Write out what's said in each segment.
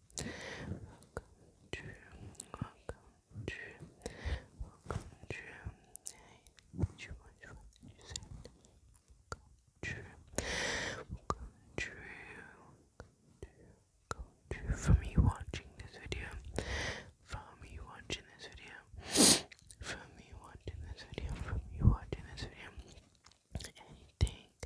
Welcome to, welcome to, welcome to. Hey, you watch what you said? Welcome to, welcome to, welcome For me watching this video, for me watching this video, for me watching this video, for me watching this video, anything, any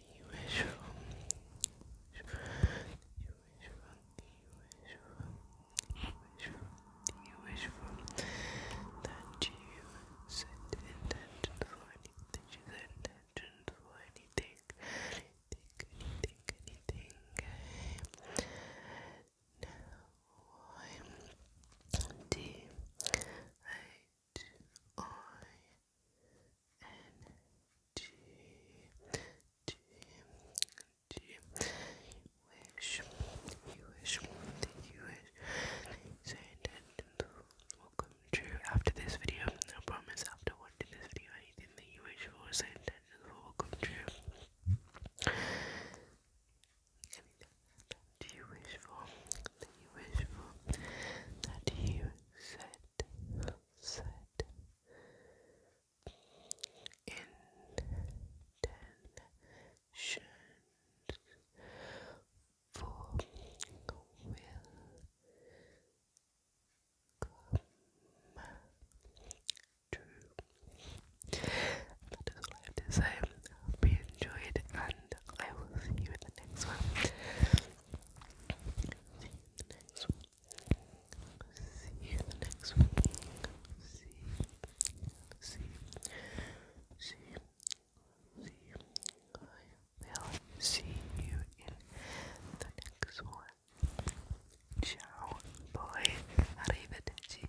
you set intention for anything that you set intention for anything anything anything anything now I'm D H I G, G, G. You wish, wish, wish. So intended will true after this video. I promise after watching this video, anything you wish for, so intended will true do you wish for? That you wish for? That you said, said intentions for will come true. That is all I have to say. I hope you enjoyed and I will see you in the next one. See you in the next one. See See See See See I will see you in the next one. Ciao, boy. Arrivederci.